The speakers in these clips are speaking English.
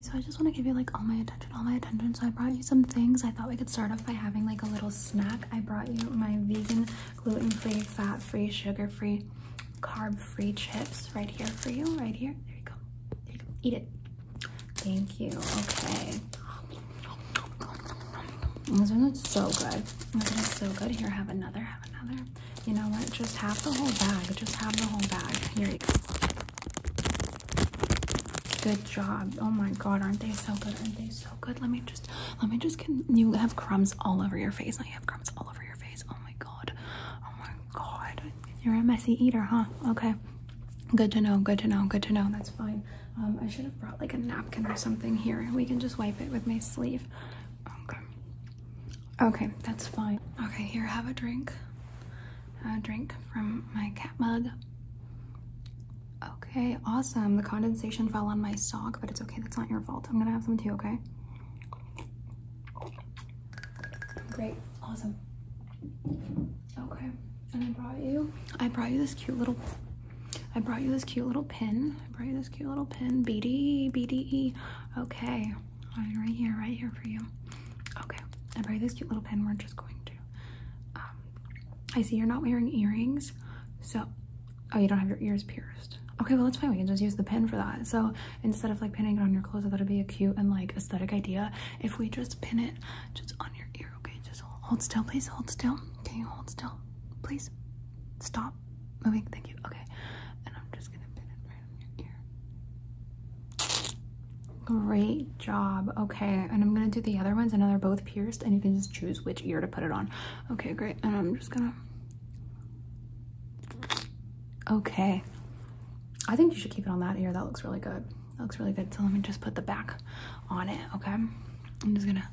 So I just want to give you like all my attention, all my attention. So I brought you some things. I thought we could start off by having like a little snack. I brought you my vegan, gluten-free, fat-free, sugar-free, carb-free chips right here for you. Right here. There you go. Eat it. Thank you. Okay. This one's so good. These are is so good. Here, have another. Have another. You know what? Just have the whole bag. Just have the whole bag. Here you go. Good job. Oh my god, aren't they so good? Aren't they so good? Let me just let me just get you have crumbs all over your face. I have crumbs all over your face. Oh my god. Oh my god. You're a messy eater, huh? Okay. Good to know, good to know, good to know. That's fine. Um, I should have brought like a napkin or something here. We can just wipe it with my sleeve. Okay. Okay, that's fine. Okay, here, have a drink. A drink from my cat mug. Okay, awesome. The condensation fell on my sock, but it's okay. That's not your fault. I'm gonna have some too, okay? Great, awesome. Okay, and I brought you, I brought you this cute little, I brought you this cute little pin. I brought you this cute little pin, BDE, BDE. Okay right here, right here for you. Okay, and by this cute little pen, we're just going to. Um, I see you're not wearing earrings, so oh, you don't have your ears pierced. Okay, well that's fine. We can just use the pin for that. So instead of like pinning it on your clothes, I thought it'd be a cute and like aesthetic idea if we just pin it just on your ear. Okay, just hold still, please. Hold still. Can you hold still, please? Stop moving. Thank you. Okay, and I'm just gonna pin it Great job. Okay, and I'm gonna do the other ones. And know they're both pierced, and you can just choose which ear to put it on. Okay, great. And I'm just gonna. Okay. I think you should keep it on that ear. That looks really good. looks really good. So let me just put the back on it, okay? I'm just gonna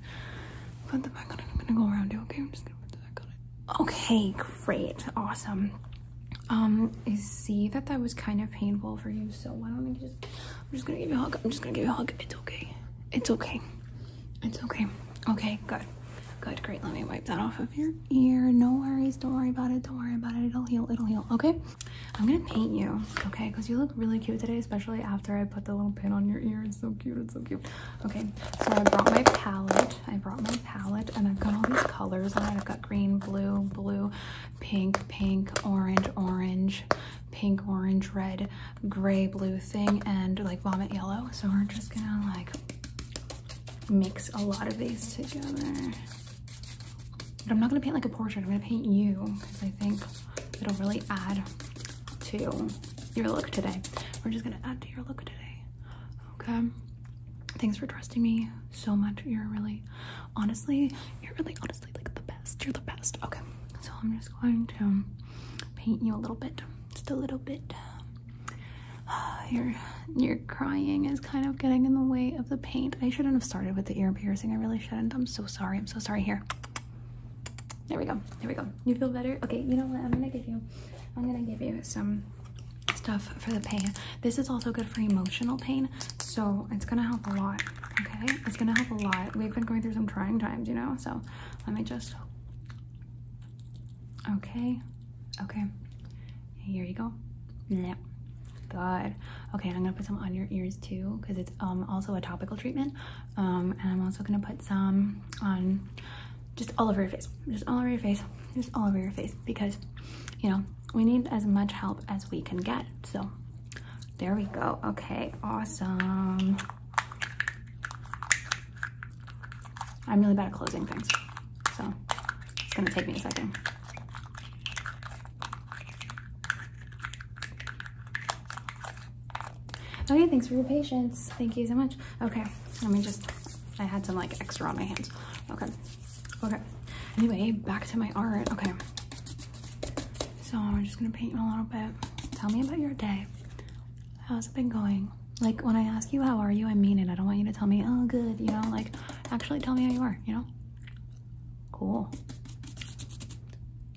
put the back on it. I'm gonna go around you, okay? I'm just gonna put the back on it. Okay, great, awesome. Um, I see that that was kind of painful for you, so why don't I just, I'm just gonna give you a hug, I'm just gonna give you a hug, it's okay, it's okay, it's okay, okay, good, good, great, let me wipe that off of your ear, no worries, don't worry about it, don't worry about it, it'll heal, it'll heal, okay? I'm gonna paint you, okay, because you look really cute today, especially after I put the little pin on your ear, it's so cute, it's so cute. Okay, so I brought my palette, I brought my palette and I've got all these colors on it. I've got green, blue, blue, pink, pink, orange, orange, pink, orange, red, gray, blue thing, and like vomit yellow. So we're just gonna like mix a lot of these together. But I'm not gonna paint like a portrait. I'm gonna paint you because I think it'll really add to your look today. We're just gonna add to your look today. Okay. Thanks for trusting me so much. You're really, honestly, you're really, honestly, like the best. You're the best. Okay. So I'm just going to paint you a little bit, just a little bit. Uh, your your crying is kind of getting in the way of the paint. I shouldn't have started with the ear piercing. I really shouldn't. I'm so sorry. I'm so sorry. Here. There we go. There we go. You feel better? Okay. You know what? I'm gonna give you I'm gonna give you some stuff for the pain. This is also good for emotional pain, so it's gonna help a lot, okay? It's gonna help a lot. We've been going through some trying times, you know? So let me just, okay, okay. Here you go. Yeah. Good. Okay, I'm gonna put some on your ears too, because it's um also a topical treatment. Um, and I'm also gonna put some on just all over your face, just all over your face, just all over your face because, you know, we need as much help as we can get. So there we go. Okay, awesome. I'm really bad at closing things, so it's gonna take me a second. Okay, thanks for your patience. Thank you so much. Okay, let me just, I had some like extra on my hands. Okay, okay. Anyway, back to my art. Okay, so I'm just gonna paint you a little bit. Tell me about your day. How's it been going? Like when I ask you how are you, I mean it. I don't want you to tell me, oh good, you know, like actually tell me how you are, you know? Cool.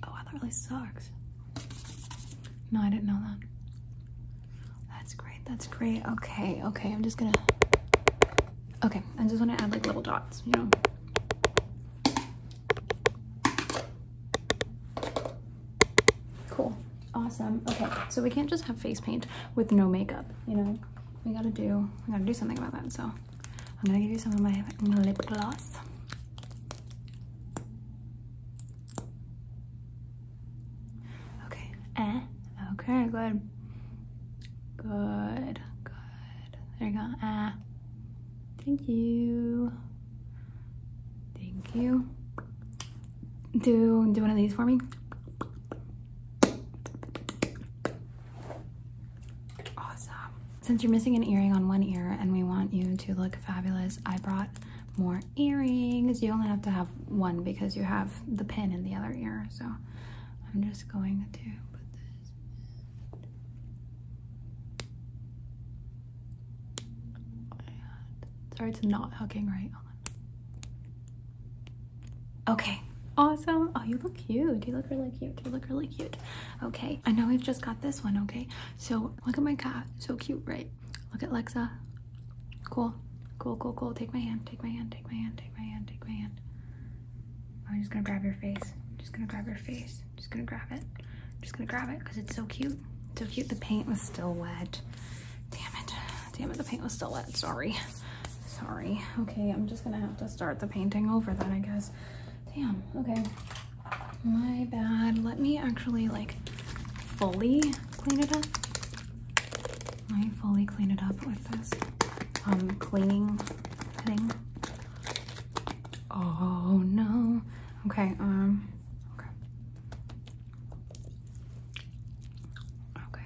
Oh, that really sucks. No, I didn't know that. That's great. That's great. Okay. Okay. I'm just gonna. Okay. I am just going to add like little dots, you know. Cool. Awesome. Okay. So we can't just have face paint with no makeup, you know. We gotta do. We gotta do something about that. So I'm gonna give you some of my lip gloss. Okay. Eh. Okay, good. Good. Good. There you go. Ah. Thank you. Thank you. Do do one of these for me. Awesome. Since you're missing an earring on one ear and we want you to look fabulous, I brought more earrings. You only have to have one because you have the pin in the other ear. So I'm just going to put this Sorry, it's not hooking right. Okay awesome. Oh, you look cute. You look really cute. You look really cute. Okay. I know we've just got this one, okay? So look at my cat, so cute, right? Look at Lexa, cool, cool, cool, cool. Take my hand, take my hand, take my hand, take my hand, take my hand. I'm just gonna grab your face. I'm just gonna grab your face. I'm just gonna grab it. I'm just gonna grab it because it's so cute. so cute. The paint was still wet. Damn it. Damn it, the paint was still wet. Sorry. Sorry. Okay, I'm just gonna have to start the painting over then, I guess. Damn, okay. My bad. Let me actually like fully clean it up. Let me fully clean it up with this um, cleaning thing. Oh no. Okay, um okay. Okay.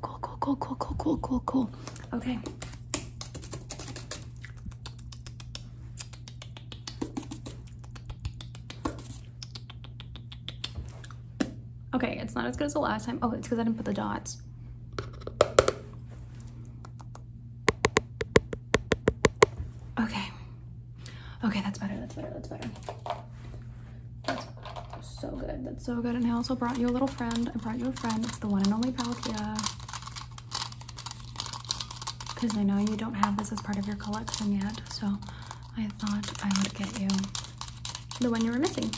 cool, cool, cool, cool, cool, cool, cool, cool, cool. Okay. Okay, it's not as good as the last time. Oh, it's because I didn't put the dots. Okay. Okay, that's better, that's better, that's better. That's so good. That's so good. And I also brought you a little friend. I brought you a friend. It's the one and only Palkia. Because I know you don't have this as part of your collection yet. So I thought I would get you the one you were missing.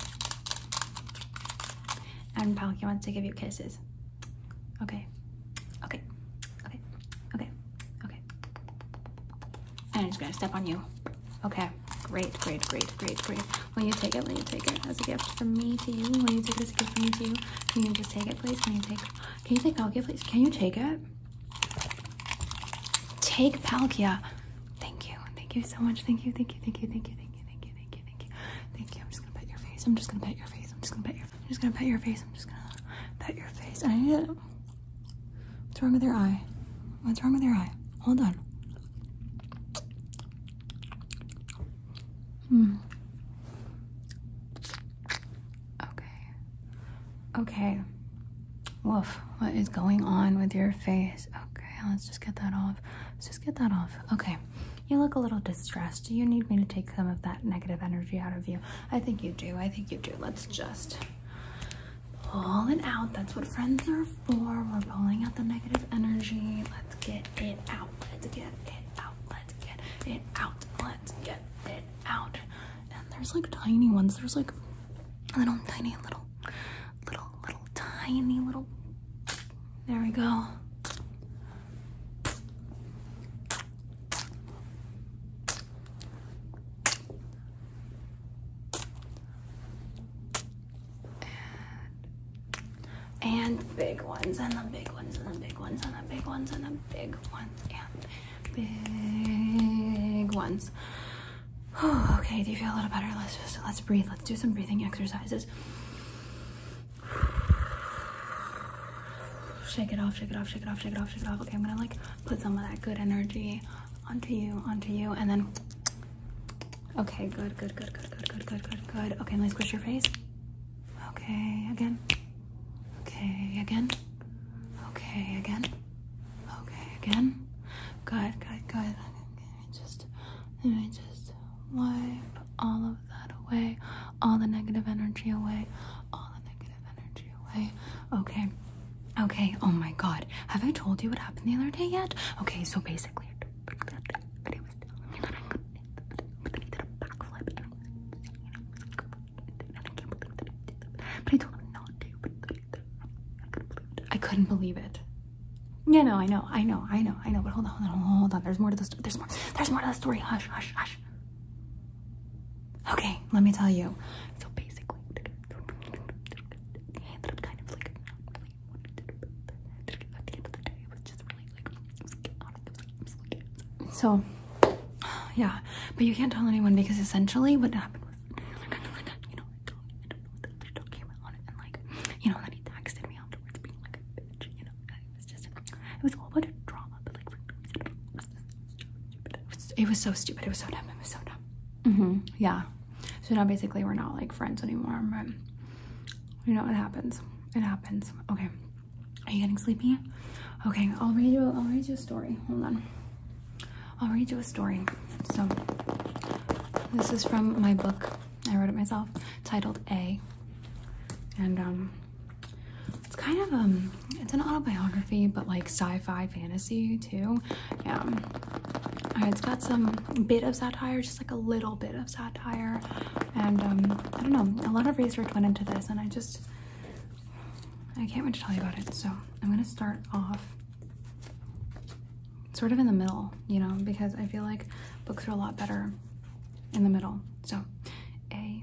And Palkia wants to give you kisses. Okay. Okay. Okay. Okay. Okay. And I'm just going to step on you. Okay, great, great, great, great, great. Will you take it? Will you take it as a gift from me to you? Will you take this gift from me to you? Can you just take it, please? Can you take? Can you take Palkia, please? Can you take it? Take Palkia. Thank you, thank you so much. Thank you, thank you, thank you, thank you, thank you, thank you, thank you, thank you, thank you. I'm just gonna pet your face. I'm just gonna pet your face. I'm just gonna pet your. I'm just gonna pet your face. I'm just gonna pet your face. I need it. What's wrong with your eye? What's wrong with your eye? Hold on. Hmm. Okay. Okay. Woof. What is going on with your face? Okay, let's just get that off. Let's just get that off. Okay. You look a little distressed. Do you need me to take some of that negative energy out of you? I think you do. I think you do. Let's just Pull it out. That's what friends are for. We're pulling out the negative energy. Let's get it out. Let's get it out. Let's get it out. Let's get it out. And there's like tiny ones. There's like little tiny little little little tiny little there we go. And, big ones, and the big ones, and the big ones, and the big ones, and the big ones, and big ones. Whew, okay, do you feel a little better? Let's just let's breathe. Let's do some breathing exercises. Shake it off, shake it off, shake it off, shake it off, shake it off. Okay, I'm gonna like put some of that good energy onto you, onto you, and then. Okay, good, good, good, good, good, good, good, good, good. Okay, let me squish your face. Okay, again. Okay, again. Okay, again. Okay, again. Good, good, good. just, let me just wipe all of that away, all the negative energy away, all the negative energy away. Okay. Okay. Oh my god. Have I told you what happened the other day yet? Okay, so basically I could not believe it. Yeah, no, I know, I know, I know, I know, but hold on, hold on, hold on. There's more to the story. There's more. There's more to the story. Hush, hush, hush. Okay, let me tell you. So basically, so yeah, but you can't tell anyone because essentially what happened was, you know, I don't know, the came out on it, and like, you know, then he texted me afterwards being like you know, it was just, it was a whole drama, but like, it was so stupid. It was so dumb. It was so dumb. -hmm. Yeah. So now basically we're not like friends anymore. But you know what happens. It happens. Okay. Are you getting sleepy? Okay. I'll read you. A, I'll read you a story. Hold on. I'll read you a story. So this is from my book. I wrote it myself, titled A. And um, it's kind of um, it's an autobiography, but like sci-fi fantasy too. Yeah, uh, it's got some bit of satire, just like a little bit of satire, and um, I don't know. A lot of research went into this, and I just I can't wait to tell you about it. So I'm gonna start off sort of in the middle, you know, because I feel like books are a lot better in the middle. So, A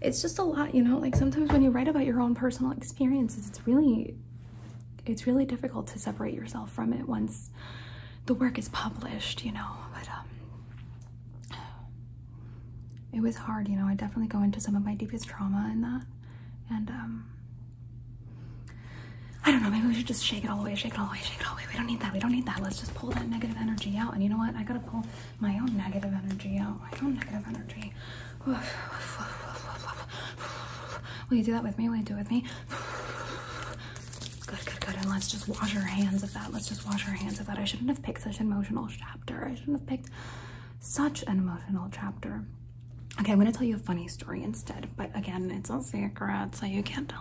It's just a lot, you know, like sometimes when you write about your own personal experiences, it's really, it's really difficult to separate yourself from it once the work is published, you know, but, um, it was hard, you know, I definitely go into some of my deepest trauma in that, and, um, I don't know, maybe we should just shake it all away. shake it all away. shake it all away. We don't need that, we don't need that. Let's just pull that negative energy out. And you know what? I gotta pull my own negative energy out, my own negative energy. Will you do that with me? Will you do it with me? Good, good, good. And let's just wash our hands of that. Let's just wash our hands of that. I shouldn't have picked such an emotional chapter. I shouldn't have picked such an emotional chapter. Okay, I'm gonna tell you a funny story instead, but again, it's all secret, so you can't tell